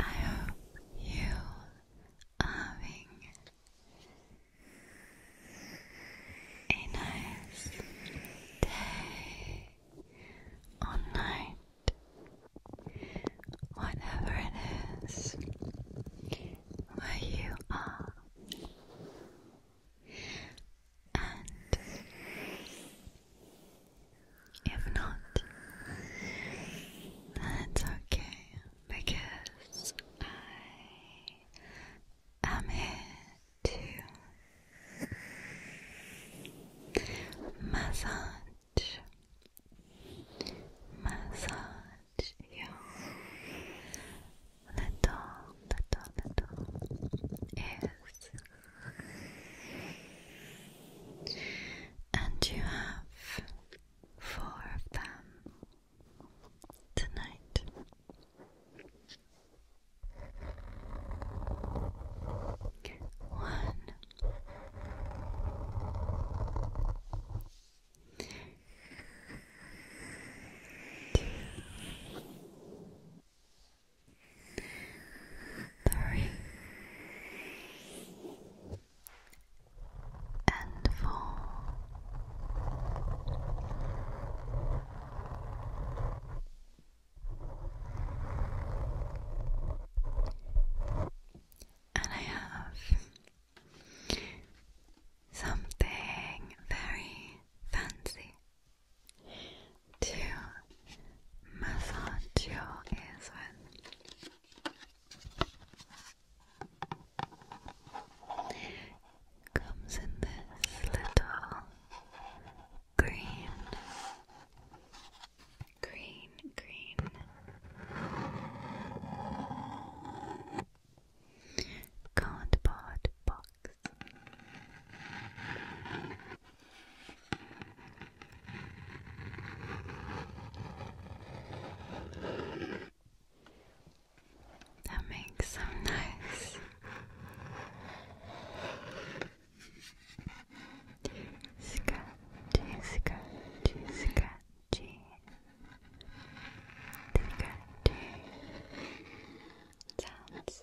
I hope you are having a nice day or night, whatever it is, where you are and if not, that's okay because I am here to massage, massage your little, little, little ears. And you have four of them tonight. One. Two, three, and four. And I have something very fancy to massage your ears Comes in this little green, green, green. Cardboard box that makes some nice scratchy, scratchy, scratchy, scratchy sounds.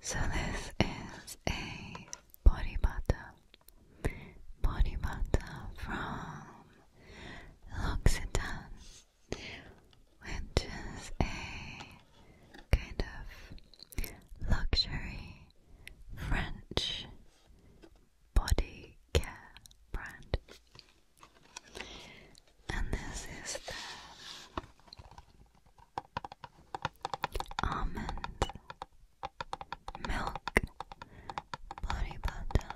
So this is a body butter, body butter from L'Occitane, which is a kind of luxury French body care brand, and this is the almond milk body butter,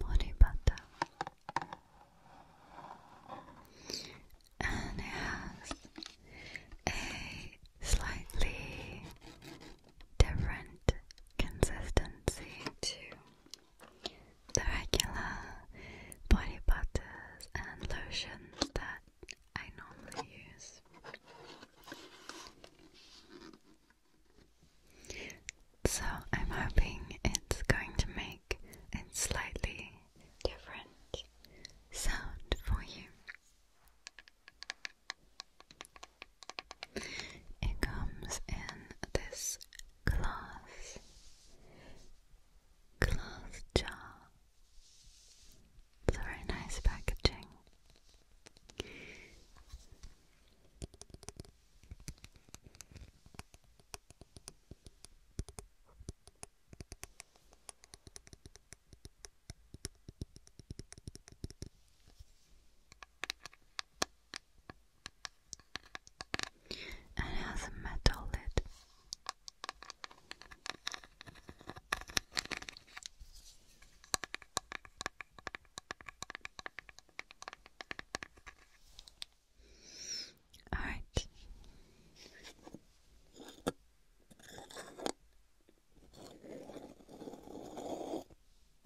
body butter. And it has a slightly different consistency to the regular body butters and lotions that I normally use. So I'm hoping it's going to make a slightly different sound for you. It comes in this glass glass jar. It's a very nice packaging and it has a metal lid. All right.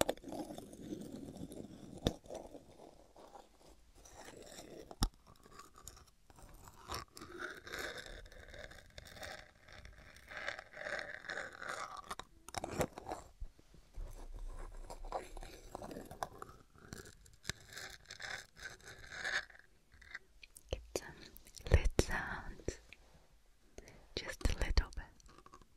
Get some lid sounds, just a little bit.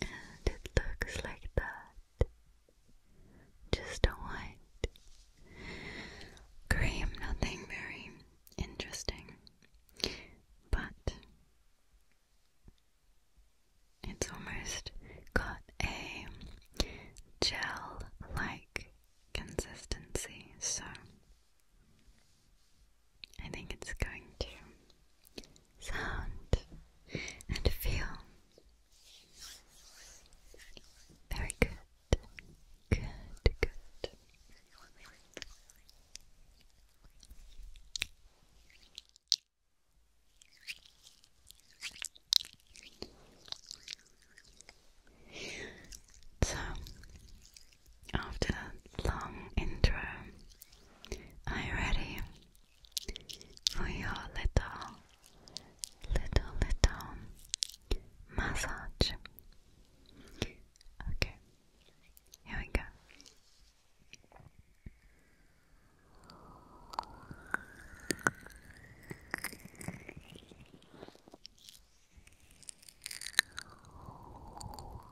And it looks like that. Just a white cream, nothing very interesting, but it's almost got a gel like consistency, so I think it's going to sound and feel. Very good. Good, good. So, after that long intro, are you ready for your little, little, little massage. Okay, here we go.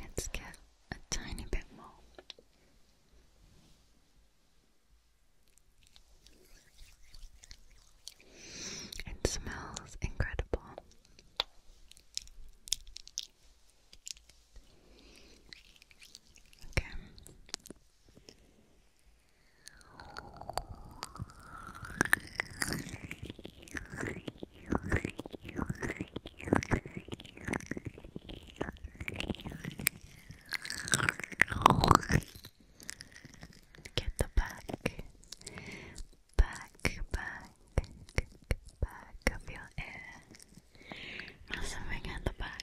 Let's get a tiny bit more. It smells incredible. Okay. Get the back, back, back, back of your ear. Massaging at the back.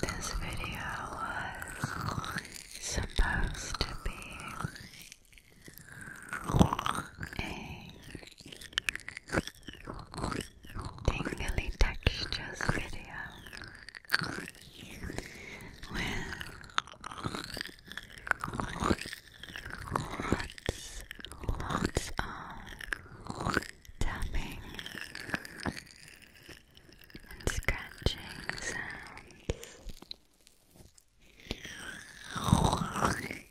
this video was supposed to be a tingly textures video with lots, lots of tapping and scratching sounds.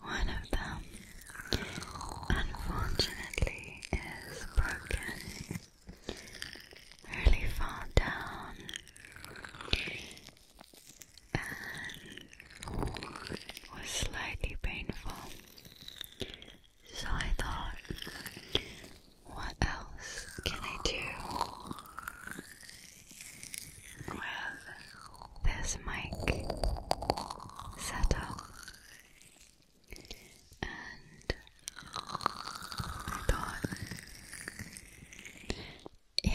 one of them, unfortunately, is broken. Really far down, and was slightly painful. So I thought, what else can I do? with this mic setup, and I thought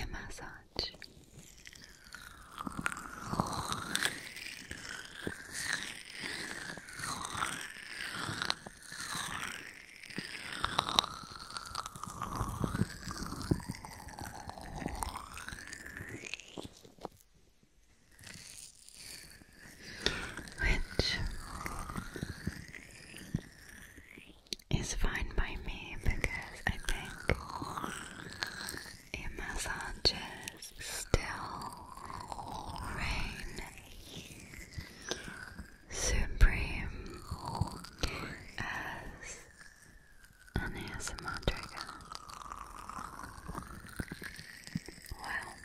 massage. It's fine by me because I think a massages still rain Supreme as an ASMR Well,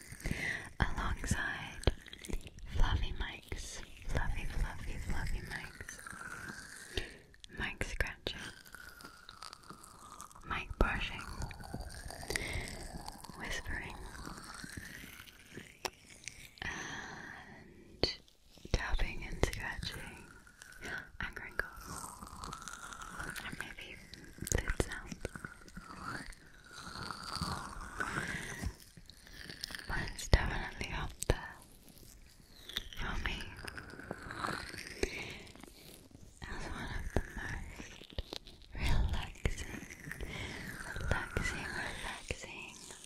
alongside fluffy mics, fluffy, fluffy, fluffy mics, mic scratching, mic brushing, whispering, and tapping and scratching and crinkles and maybe lid sounds. But it's definitely up there for me as one of the most relaxing, relaxing, relaxing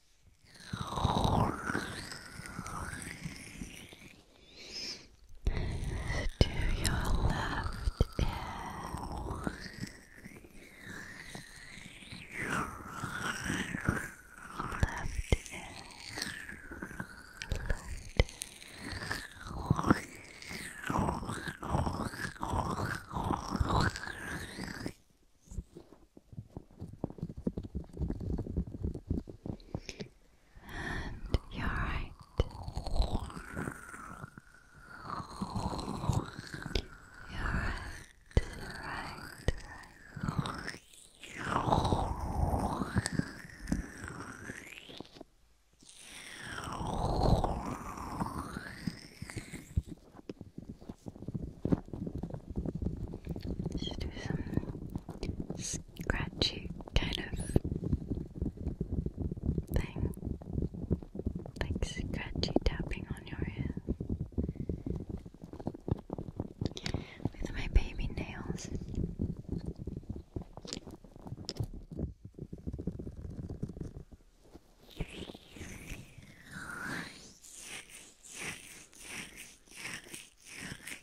To your left ear, left ear, left ear. And you're right. You're right, right, right. Let's do some scratchy kind of thing. Like scratchy tapping on your ear. With my baby nails.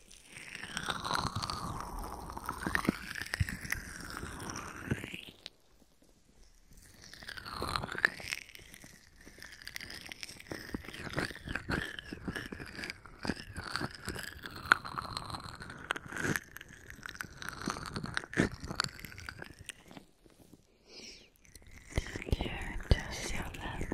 You're just so lovely.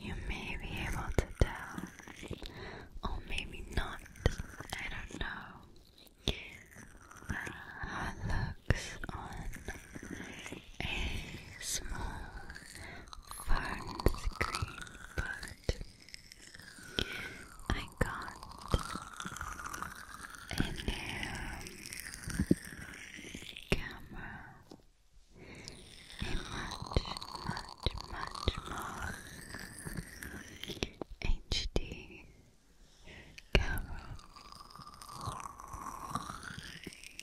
You may be able to tell, or maybe not, I don't know uh, looks on a small farm screen, but I got a new camera, a much, much, much more HD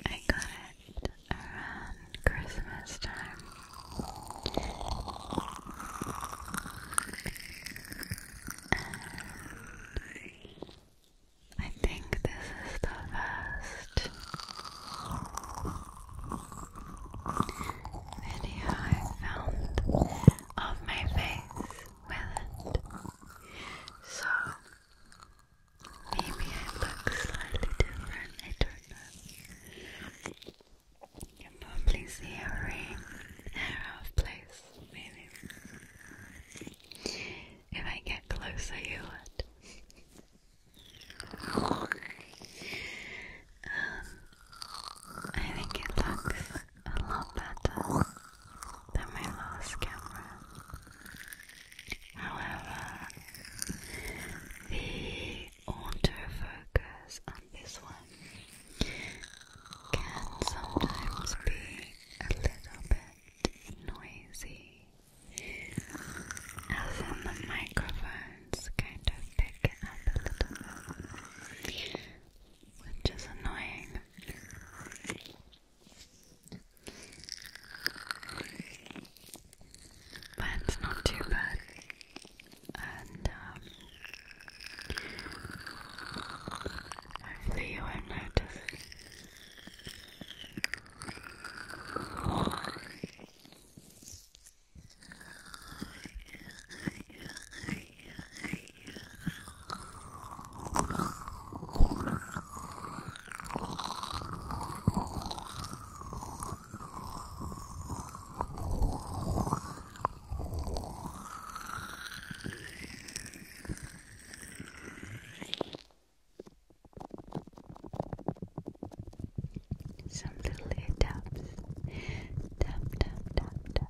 I got it around Christmas time. I think this is the first video I found of my face with So maybe I look slightly different, I don't know. You can probably see a ring out maybe. If I get closer, you would. Um, I think it looks a lot better than my last camera. However, the autofocus on this one can sometimes be a little bit noisy, as in the microphones kind of pick up a little which is annoying but it's not too bad. And um, hopefully you won't notice. Some little ear taps. Tap, tap, tap, tap.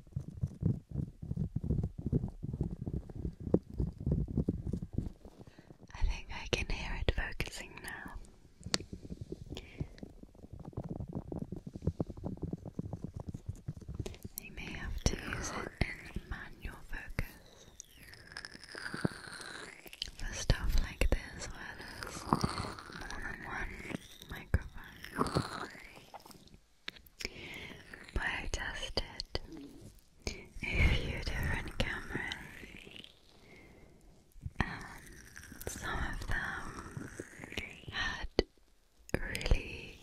I think I can hear it focusing now. You may have to use manual focus for stuff like this, where there's more than one microphone. Where I tested a few different cameras, and some of them had really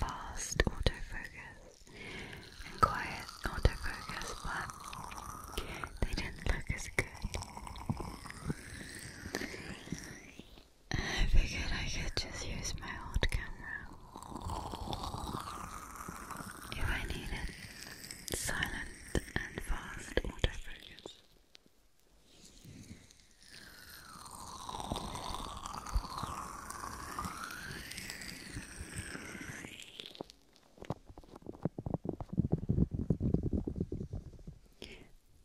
fast autofocus and quiet autofocus, but they didn't look as good. I figured I could just use my old camera if I needed silent and fast autofocus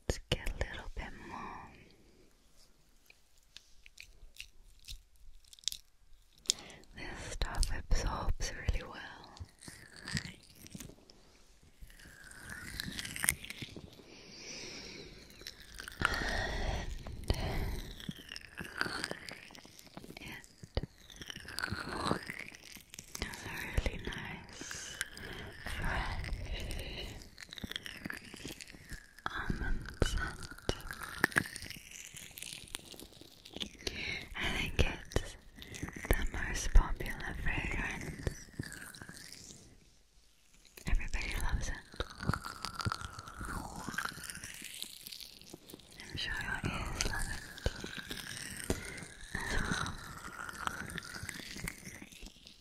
let get a little bit more. This stuff absorbs really well. And it really nice, fresh almond scent. I think it's the most popular fragrance. Everybody loves it. I'm sure your ears love it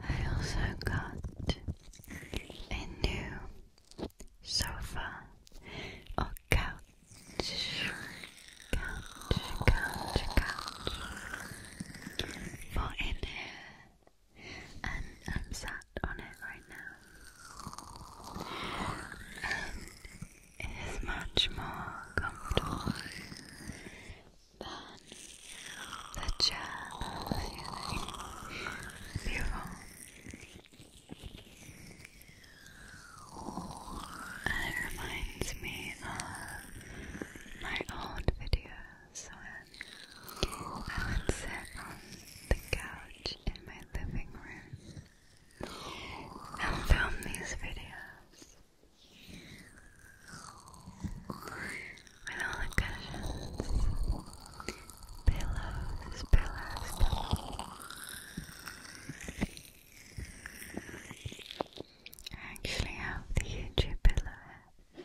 I also got a new sofa or couch. For in here. And I'm sat on it right now is much more comfortable than the chair I it reminds me of my old videos when I would sit on the couch in my living room and film these videos with all the pillows, pillows, I actually have the YouTube pillow here.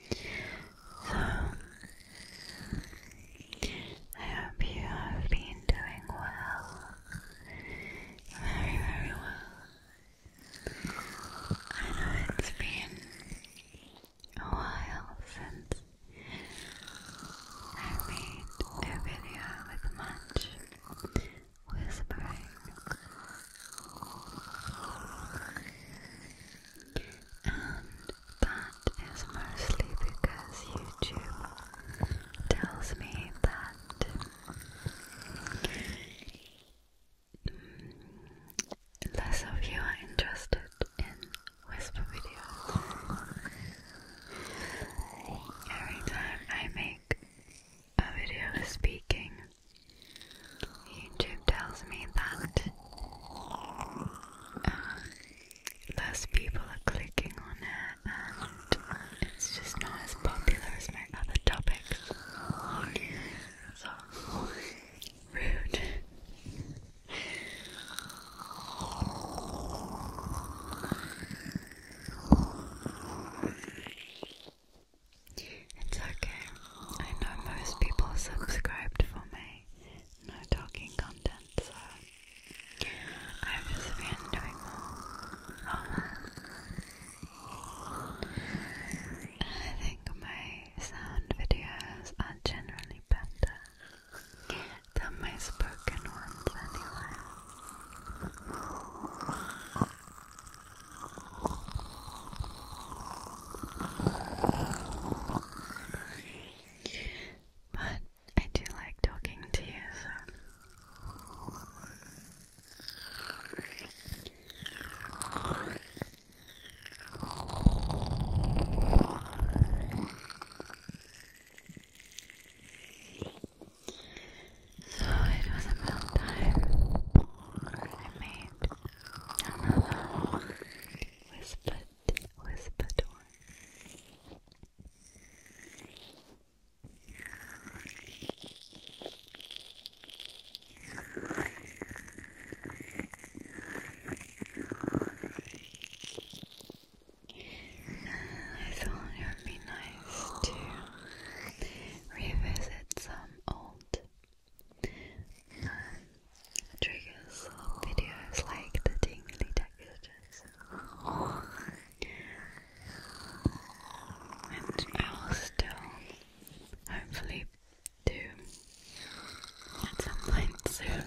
So, I hope you have been doing well. Very, very well. I know it's been a while since I made a video with much whispering that is mostly because YouTube tells me that less of you are interested in whisper videos. Every time I make a video speaking, YouTube tells me that uh, less people are clicking on it and it's just not as popular as my other topics. So rude. It's okay. I know most people subscribed for my no talking content, so I've just doing more. Oh. I think my sound videos are generally better than my spoken ones, anyway. But I do like talking to you, so. So it was about time I made Another whispered, whispered I thought it would be nice to revisit some old triggers videos like the tingly textures. And I will still hopefully do at some point soon.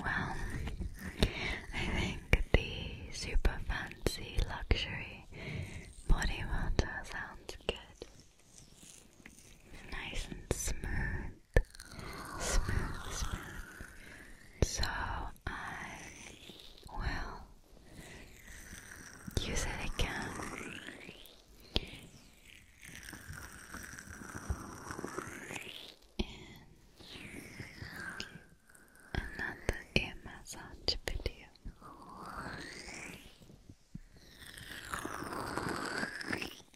Well, I think the super fancy luxury body water sounds good nice and smooth, smooth, smooth. So I will use it again. In another ear massage video.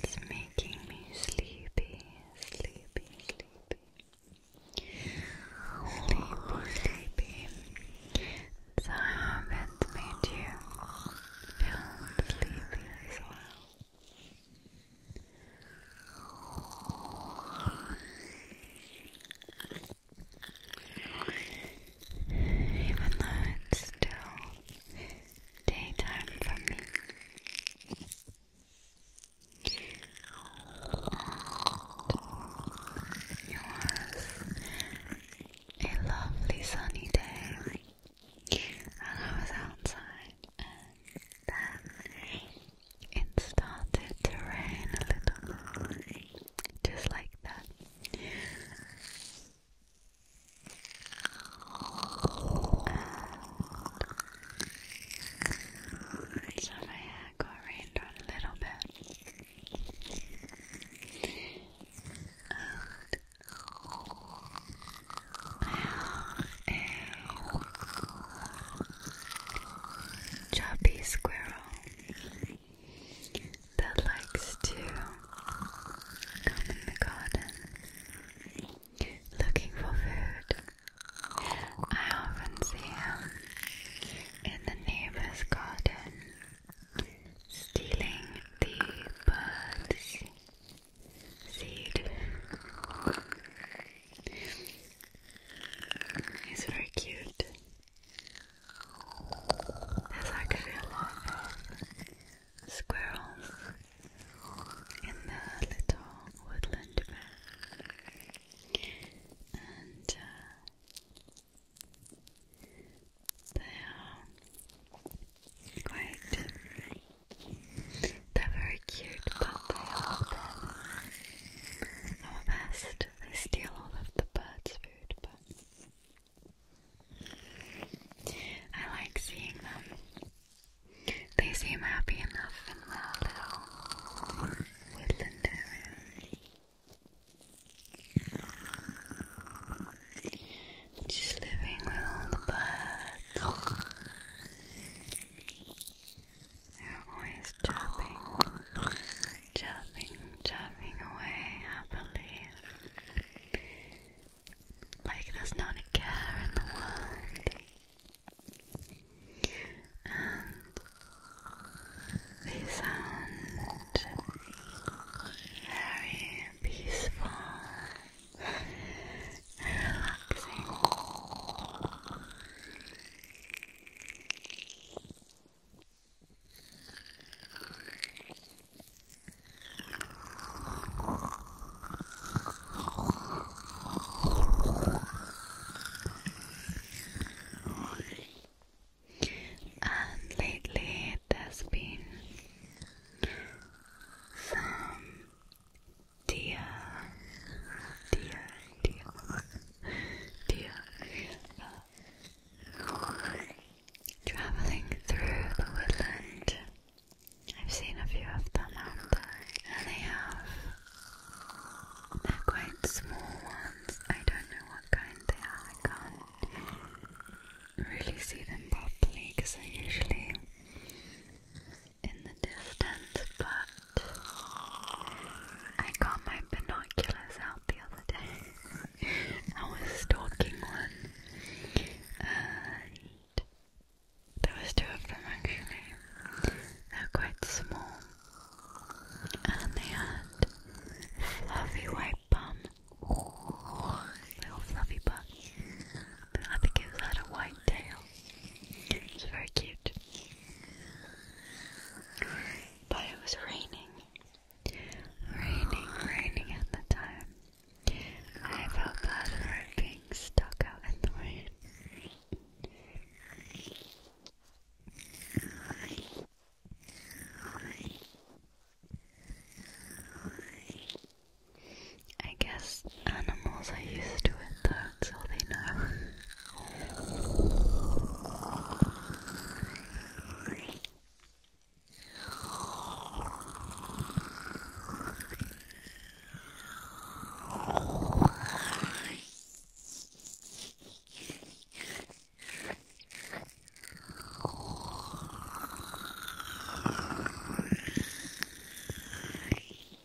It's making me sleepy, sleepy, sleepy. Sleepy, sleepy. So I hope it's made you even though it's still daytime for me. It a lovely sunny day and I was outside and then um, it started to rain a little just like that so my hair got rained on a little bit a chubby squirrel that likes to come in the garden looking for food. I often see him in the neighbor's garden stealing the birds' seed. It's very cute. There's actually a lot of squirrels in the little woodland And uh, they are quite they're very cute, but they are our best. They steal all of the birds' food, but I like seeing them. They seem happy enough in their little Just living with all the they're always chirping, chirping, chirping away happily. Like there's not a care in the world. And they sound very peaceful relaxing. And lately there's been some dear, dear, dear, dear, traveling through the woodland. I've seen a few of them out there, and they have. They're quite small ones. I don't know what kind they are. I can't really see them properly because usually in the distance, but I got my binoculars out the other day. I was stalking one, and there was two of them actually. They're quite small, and they had fluffy white bum, little fluffy butt, I think it had a white tail. It's very cute. But it was raining. Raining, raining at the time. I felt bad for being stuck out in the rain. I guess animals are used to it though, so they know.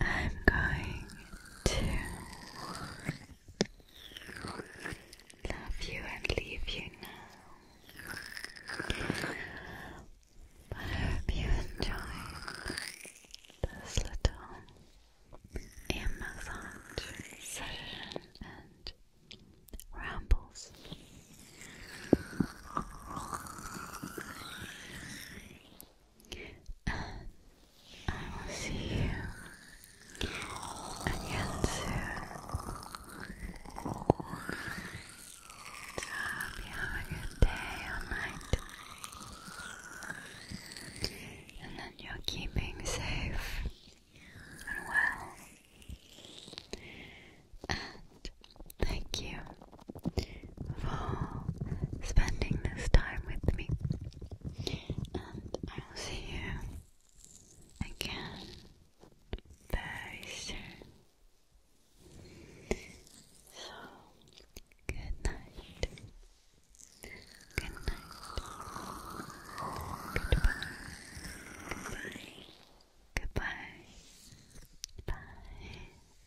I'm going to love you and leave you now. But I hope you enjoyed this little ear session and rambles. I will see you again soon. have a good day or night, and that you're keeping safe and well. And thank you for spending this time with me, and I will see you again very soon. So, good night. Good night. Goodbye. Goodbye. Goodbye. Bye.